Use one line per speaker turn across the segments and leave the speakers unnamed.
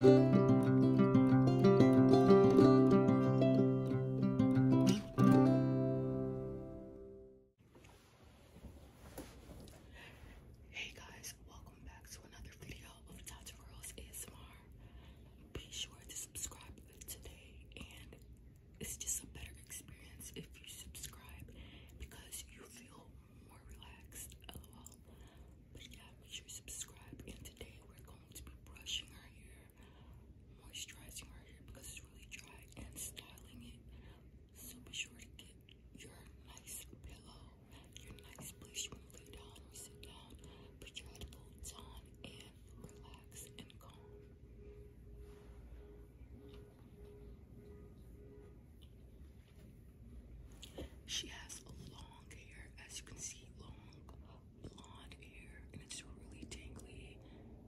Hey guys, welcome back to another video of Dr. Girls ASMR. Be sure to subscribe today and it's just a better experience if you subscribe because you feel more relaxed. But yeah, make sure you subscribe. And today we're going to be brushing our hair, moisturizing our hair because it's really dry, and styling it. So be sure to get your nice pillow, your nice place you can lay down or sit down. Put your headphones on and relax and calm. She has long hair, as you can see, long blonde hair, and it's really tangly.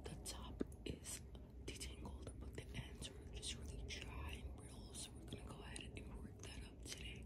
The top is detangled, but the ends are just really dry and brittle, so we're gonna go ahead and work that up today.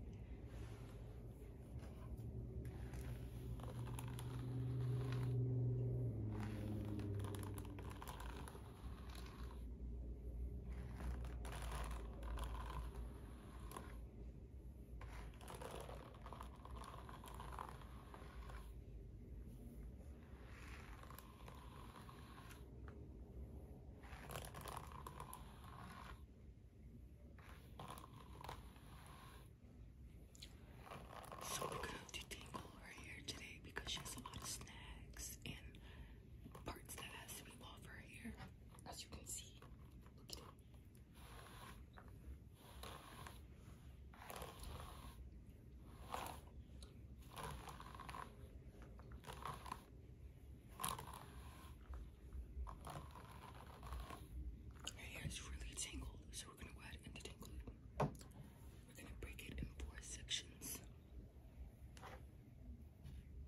So we're gonna do Tingle right here today because she has a lot of snacks and parts that has sweet wafer here, as you can see. Look at really tangled, so we're gonna go ahead and detangle it. We're gonna break it in four sections.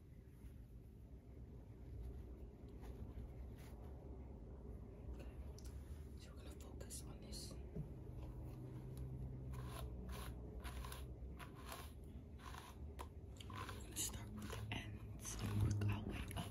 Okay. So we're going to focus on this. start with the ends and work our way up.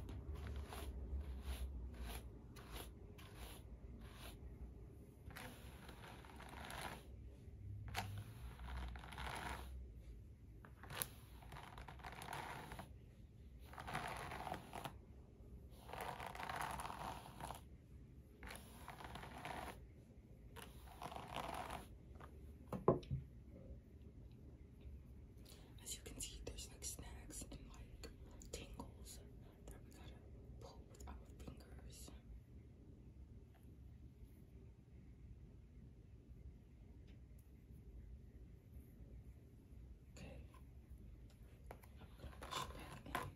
As you can see, there's like snacks and like tingles that we gotta pull with our fingers. Okay. I'm gonna push it back in.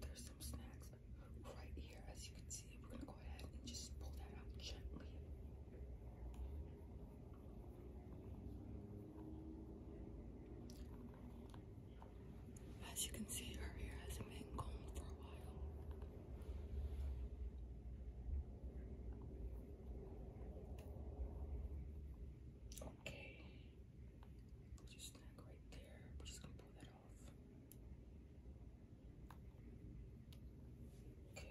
There's some snacks right here, as you can as you can see, her hair has been gone for a while. Okay. Just snag right there. We're just gonna pull that off. Okay.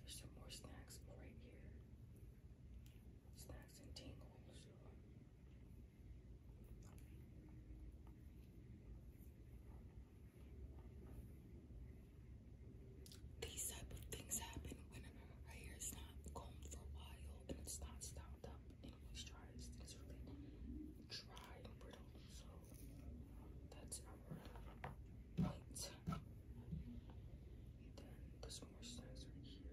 There's some more snacks right here. Snacks and tingles. These type of things happen when her hair is not combed for a while and it's not styled up and moisturized. It's really dry and brittle. So that's our point. And then this moisturizer here. And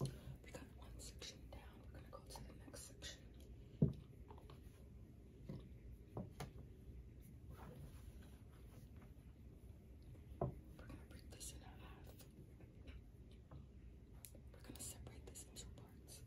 We got one section down. We're going to go to the next section. We're going to break this in half. We're going to separate this into Swords.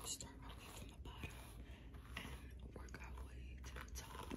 Let's start my way from the bottom and work our way to the top.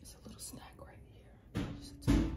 It's a little snack right here. Just a tiny bit.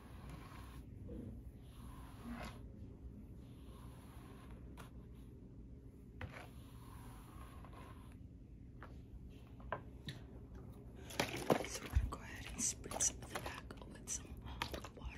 So I'm going to go ahead and spritz some of the back with some water.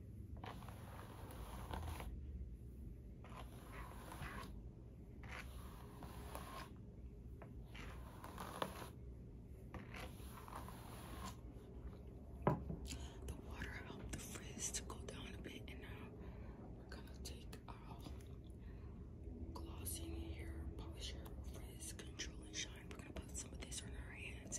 The water helped the frizz to go down a bit, and now we're gonna take our glossing hair polish, frizz control and shine. We're gonna put some of this on our hands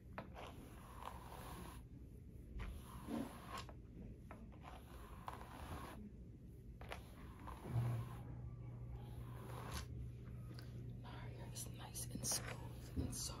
Mario is nice and smooth and soft.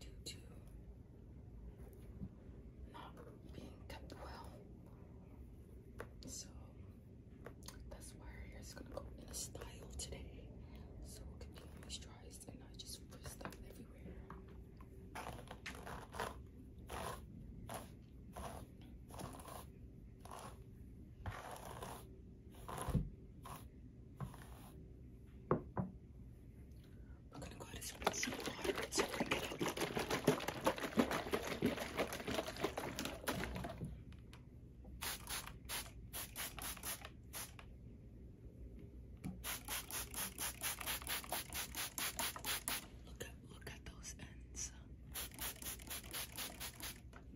due to not being kept well. So that's why our hair is gonna go in a style today. So it can be moisturized and not just frizzed up everywhere. We're gonna go ahead and split some water and some it up. look at those ends.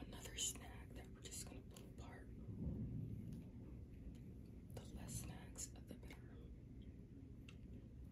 Another snack that we're just going to pull apart. The less snacks, the better.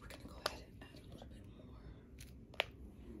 We're going to go ahead and add a little bit more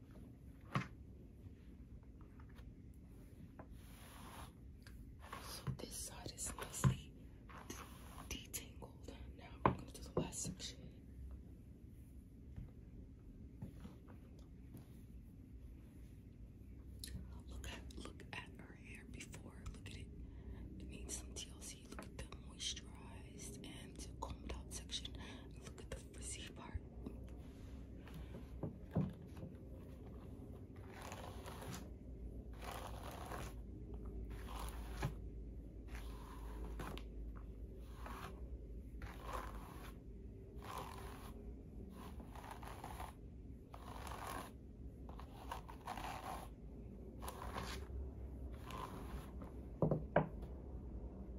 So this side is nicely detangled. Now we're going to do the last section. Look at look at her hair before. Look at it. It some TLC. Look at the moisturize and comb out section. Look at the frizzy part.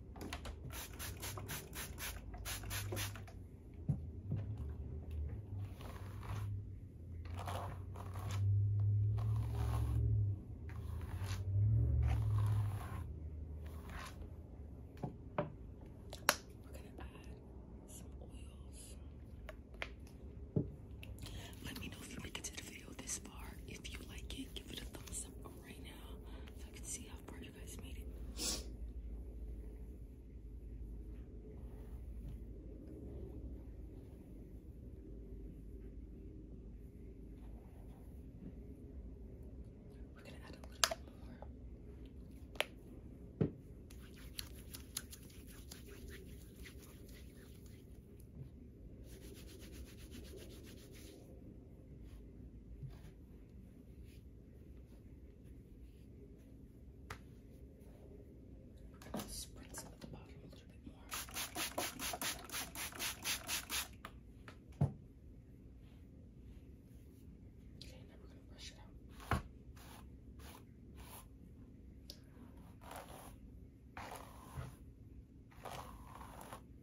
add Let me know if you make it to the video this far. If you like it, give it a thumbs up right now so I can see how how you We're gonna add a little bit more. Spritz at the bottom a little bit more. Okay, now we're going to brush it out. Okay,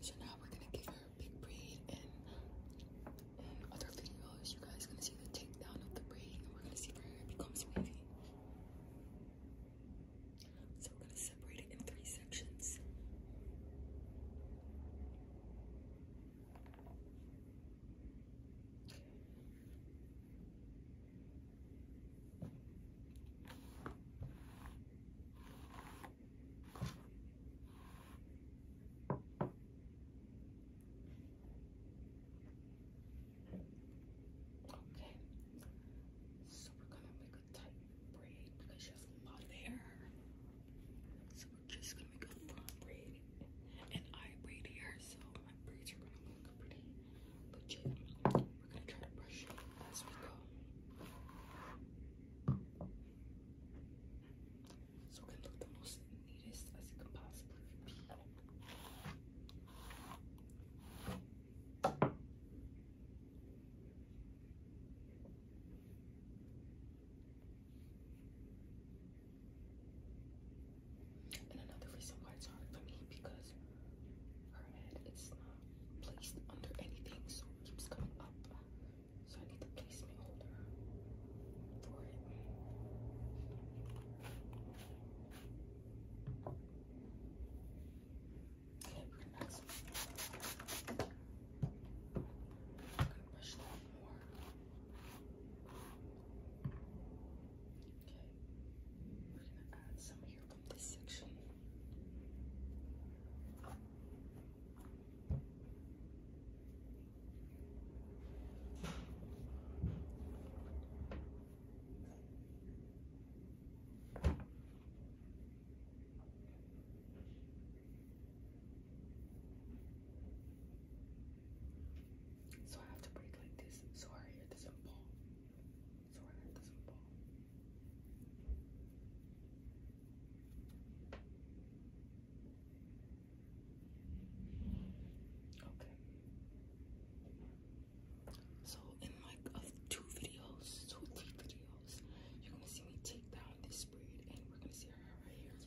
So now we're gonna give her a big braid, and in other videos, you guys are gonna see the takedown of the braid, and we're gonna see if it becomes wavy. So we're gonna separate it in three sections. Okay, so we're gonna make a tight because she has a hair. So we're just gonna make a front braid and eye braid here. So my braids are gonna look pretty legit. We're gonna try to brush it as we go. So it can look the most neatest as it can possibly be. And another reason why it's hard for me because her head is not placed under anything, so it keeps coming up. So I need the placement holder for it. Okay, relax. I'm gonna brush that more. Okay, we're gonna add some here from this section. Okay. So I have to break like this so our hair doesn't fall. So our doesn't fall. Okay. So in like two videos, two videos. You're gonna see me take down this braid and we're gonna see how her hair looks.